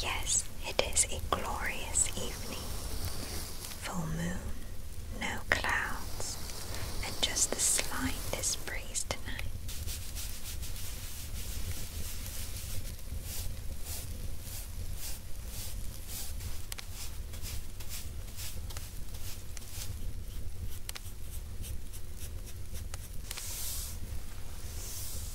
Yes, it is a glorious evening. Full moon, no clouds, and just the slightest breeze tonight.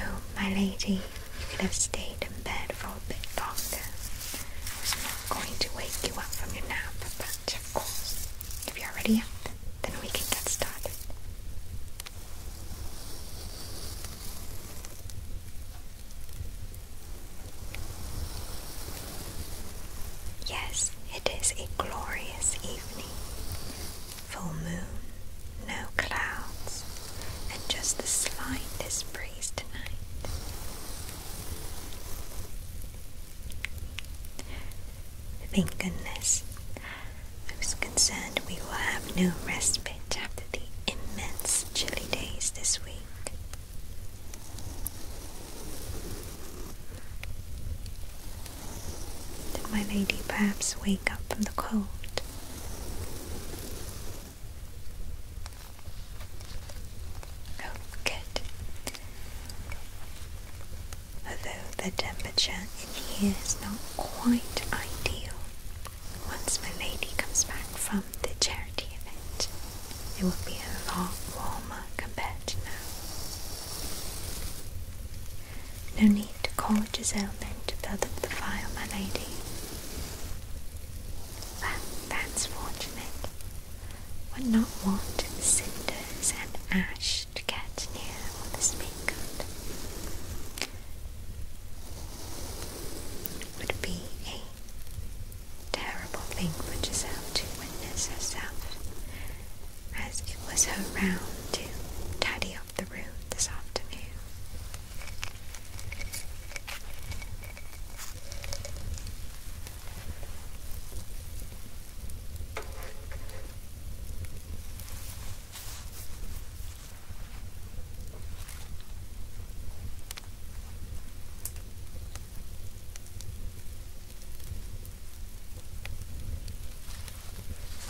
Oh, my lady, you could have stayed in bed for a bit longer. I was not going to wake you up from your nap, but of course, if you're ready, then we can get started. Yes, it is a glorious evening. Full moon, no clouds, and just the slightest breeze tonight. Thank goodness. I was concerned we will have no respite after the immense chilly days this week. Did my lady perhaps wake up from the cold? Oh, good. Although the temperature in here is not quite ideal once my lady comes back from the charity event. It will be a lot warmer compared to now. No need to call Giselle then to build up the fire, my lady. Well, that's fortunate. Would not want cinders and ash to get near what this being good. Would be a terrible thing for Giselle to witness herself, as it was her round to tidy up the room this afternoon.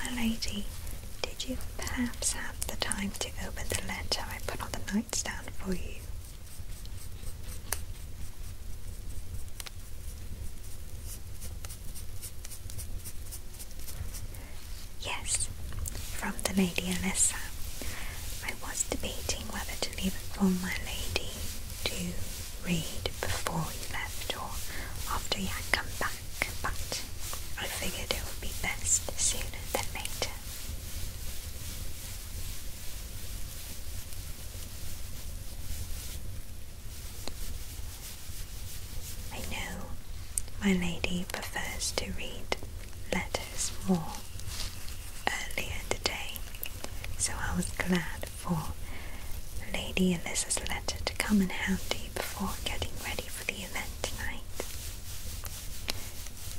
My lady, did you perhaps have the time to open the letter I put on the nightstand for you? Yes, from the Lady Alyssa. I was debating whether to leave it for my lady to read before he left or after he come back, but I figured it would be best sooner than later. I know my lady prefers to read letters matters more earlier today, so I was glad for Lady Alyssa's letter to come in handy before getting ready for the event tonight.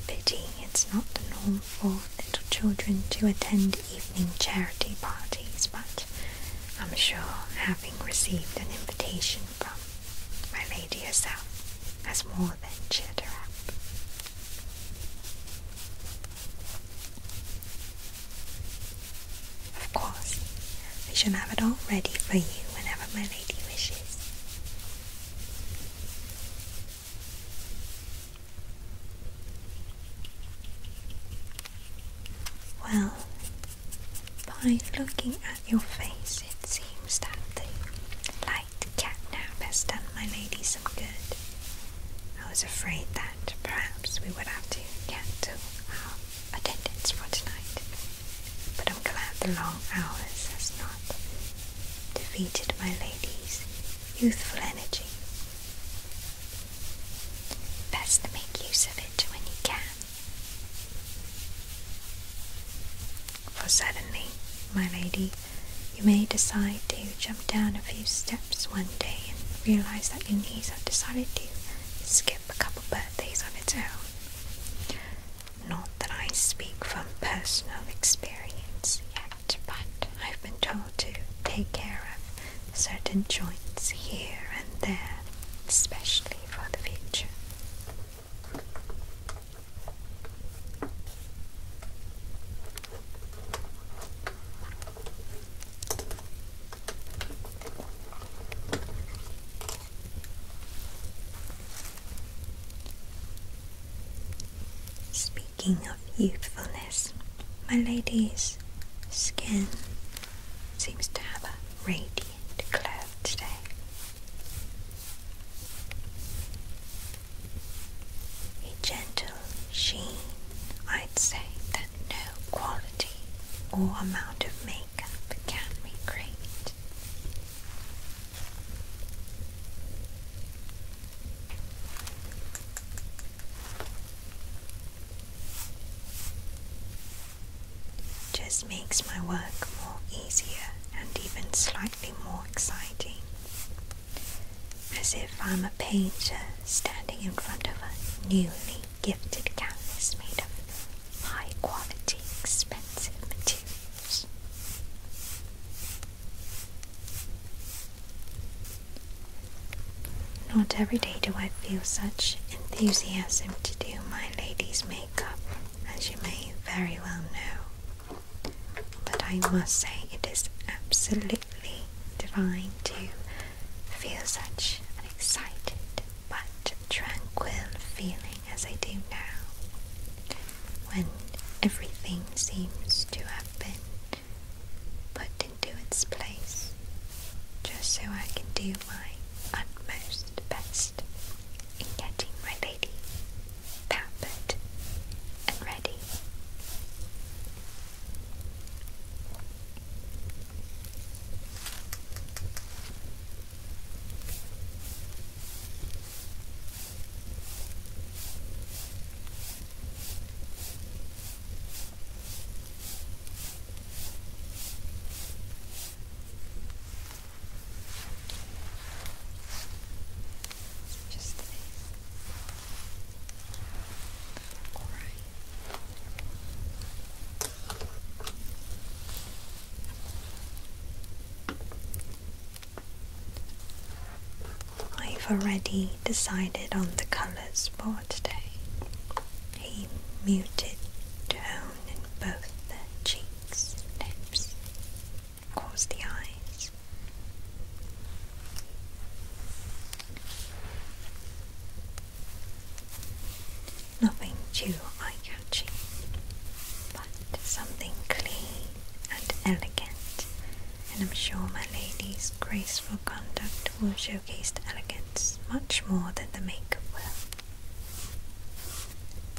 Pity it's not the norm for little children to attend evening charity parties, but I'm sure having received an invitation from my lady herself has more than cheered her up. Of course, I shall have it all ready for you whenever my lady wishes. Well, by looking at your face, it seems that the the cat catnap has done my lady some good. I was afraid that perhaps we would have to cancel our attendance for tonight, but I'm glad the long hours has not defeated my lady's youthful energy. Best to make use of it when you can. For suddenly my lady you may decide to jump down a few steps one day and realize that your knees have decided to skip a couple birthdays on its own. Not that I speak from personal experience yet, but I've been told to take care of certain joints here and there, especially for the future. Speaking of youthfulness, my lady's skin seems to have a radiant glow today a gentle sheen. I'd say that no quality or amount of makeup can recreate. Just makes my work more easier and even slightly more exciting as if I'm a painter standing in front of a newly gifted canvas made of high quality, expensive materials. Not every day do I feel such enthusiasm to do my lady's makeup, as you may very well know. But I must say, it is absolutely divine to feel such an excited but tranquil feeling as I do now, when everything seems to have been put into its place, just so I can do my utmost best in getting my pampered and ready. I've already decided on the colours for today. A muted tone in both the cheeks and lips. Close the eyes. Nothing too eye catching, but something clean and elegant, and I'm sure my lady's graceful conduct will showcase the elegance much more than the makeup will.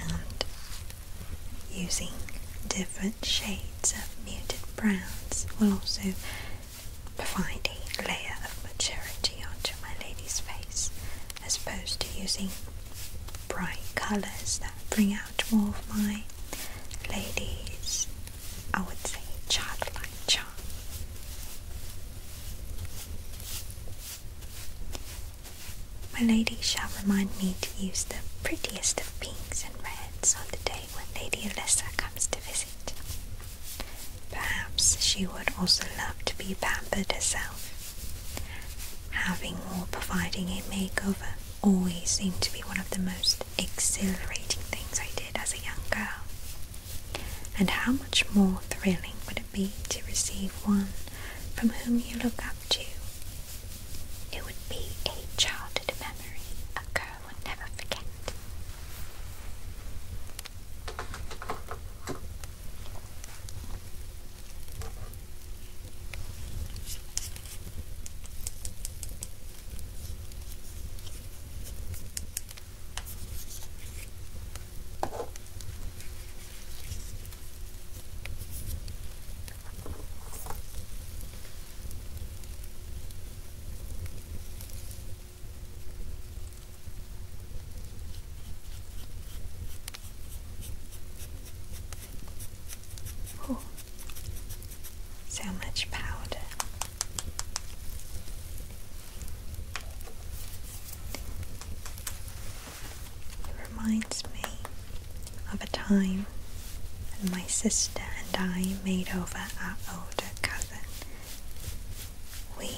and using different shades of muted browns will also provide layer of maturity onto my lady's face as opposed to using bright colours that bring out more of my lady's, I would say, childlike charm. My lady shall remind me to use the prettiest of pinks and reds on the day when Lady Lessa comes to visit. Perhaps she would also love to be pampered herself. Having or providing a makeover always seemed to be one of the most exhilarating things I did as a young girl. And how much more thrilling would it be to receive one from whom you look up to? It would be a childhood memory, a I will never forget. Oh, so much powder. reminds me of a time and my sister and I made over our older cousin. We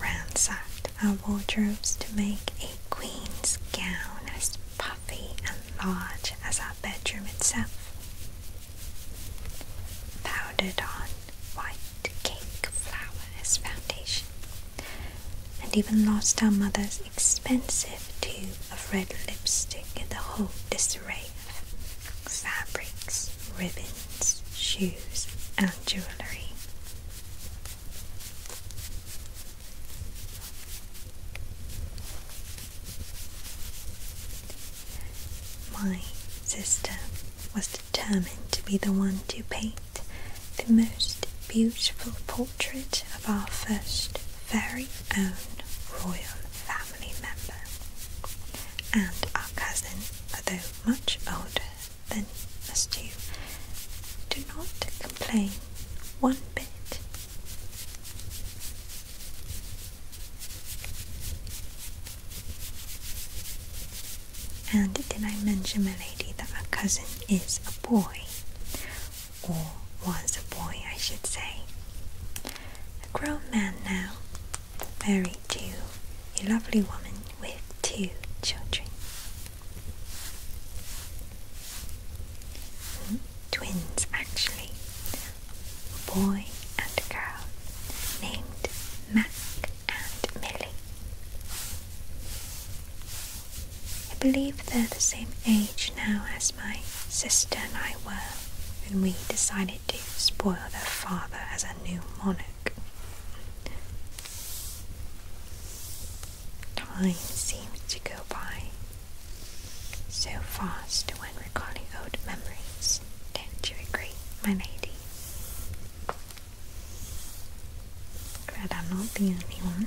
ransacked our wardrobes to make a queen's gown as puffy and large as our bedroom itself. Powdered on white cake flour as foundation, and even lost our mother's expensive tube of red lipstick in the whole disarray fabrics, ribbons, shoes, and jewellery. My sister was determined to be the one to paint the most beautiful portrait of our first very own royal family member and our cousin, although much older than us two, do not complain one bit. And did I mention, my lady, that our cousin is a boy? Or was a boy, I should say a grown man now, married to a lovely woman with two children. Hmm? Twins, actually, a boy and a girl, named Mac and Milly. I believe they're the same age now as my sister and I were when we decided opportunity spoil their father as a new monarch. Time seems to go by so fast when recalling old memories. Don't you agree, my lady? Glad I'm not the only one.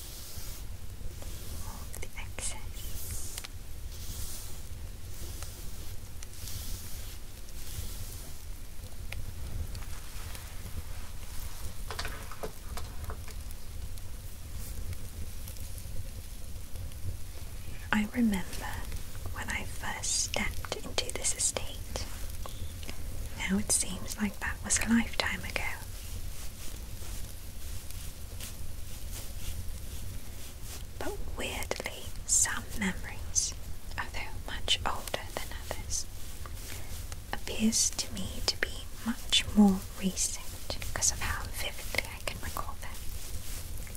I remember when I first stepped into this estate. Now it seems like that was a lifetime ago. But weirdly, some memories, although much older than others, appears to me to be much more recent because of how vividly I can recall them.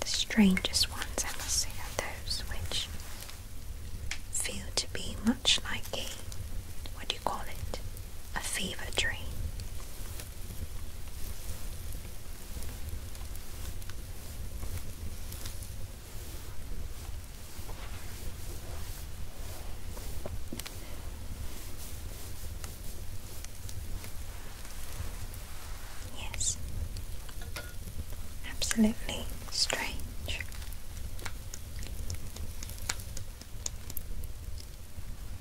The strangest ones, I must say, are those which feel to be much like a what do you call it? A fever dream. Yes, absolutely strange.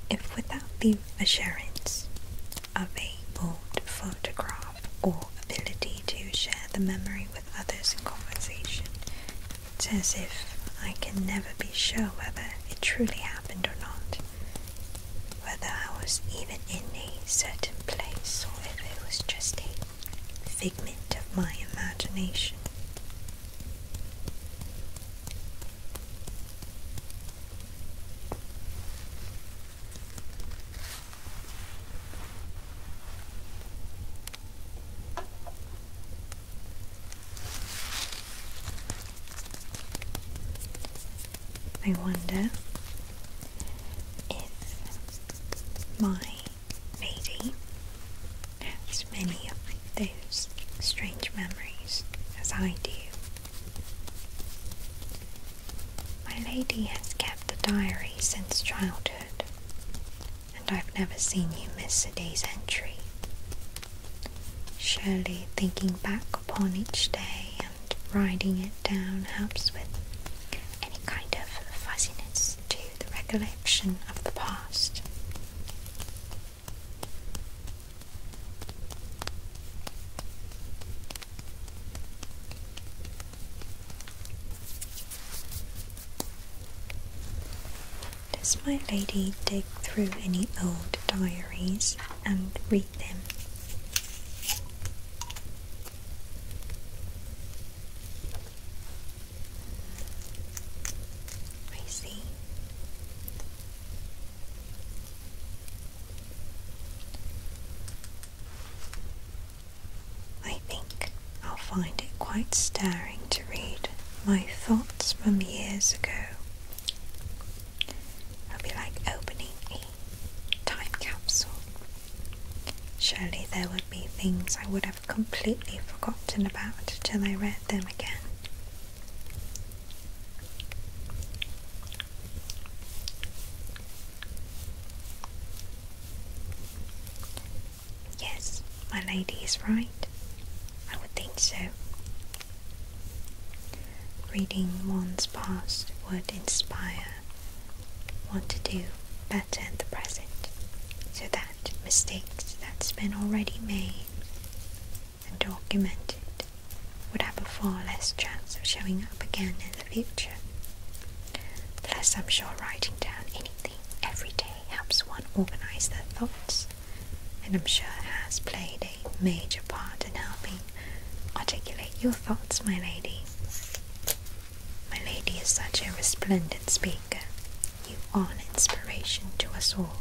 If without the assurance of a bold photograph or ability to share the memory with others in conversation, it's as if I can never be sure whether it truly happened or not, whether I was even in a certain place or if it was just a figment of my imagination. I wonder if my lady has many of those strange memories as I do. My lady has kept a diary since childhood, and I've never seen you miss a day's entry. Surely thinking back upon each day and writing it down helps with any kind of fuzziness to the recollection of the past. Does my lady dig through any old diaries and read them? I see. I think I'll find it quite stirring to read my thoughts from years ago. I'll be like opening a time capsule. Surely there would be things I would have completely forgotten about till I read them again. Yes, my lady is right. I would think so. Reading one's past would inspire one to do better in the present so that mistakes that's been already made and documented would have a far less chance of showing up again in the future. Plus, I'm sure writing down anything every day helps one organize their thoughts, and I'm sure has played a major part in helping articulate your thoughts, my lady. My lady is such a resplendent speaker. You are an inspiration to us all.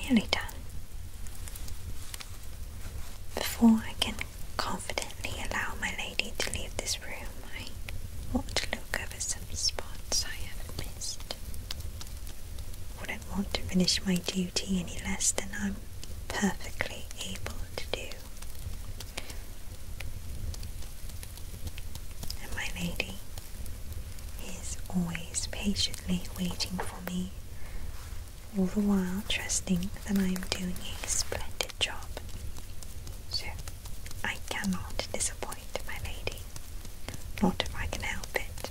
Nearly done. Before I can confidently allow my lady to leave this room, I want to look over some spots I have missed. Wouldn't want to finish my duty any less than I'm perfectly able to do. And my lady is always patiently waiting for me, all the while trusting that I am doing a splendid job. So I cannot disappoint my lady, not if I can help it.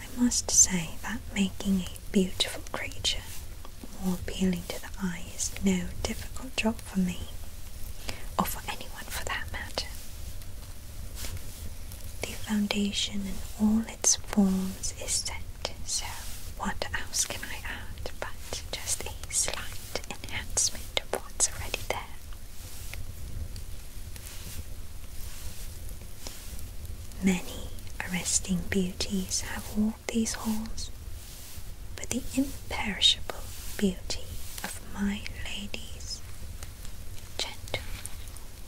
I must say that making a beautiful creature more appealing to the eye is no difficult job for me, or for anyone for that matter. The foundation in all its forms is set, so what else can I add but just a slight enhancement of what's already there? Many arresting beauties have walked these halls, but the imperishable beauty of my lady's gentle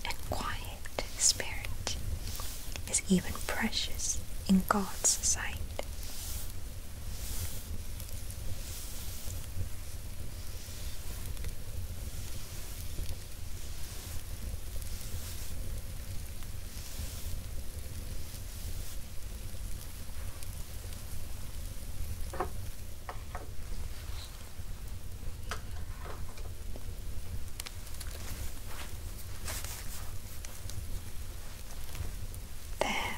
and quiet spirit is even precious in God's sight. There,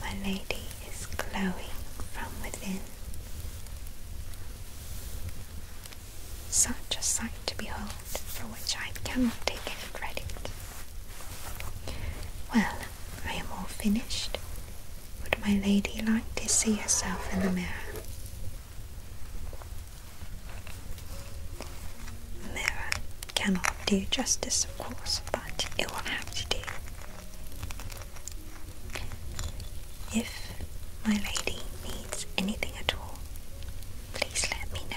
my lady is glowing from within such a sight to behold, for which I cannot take any credit. Well, I am all finished. Would my lady like to see herself in the mirror? mirror cannot do justice, of course, but it will have to do. If my lady needs anything at all, please let me know.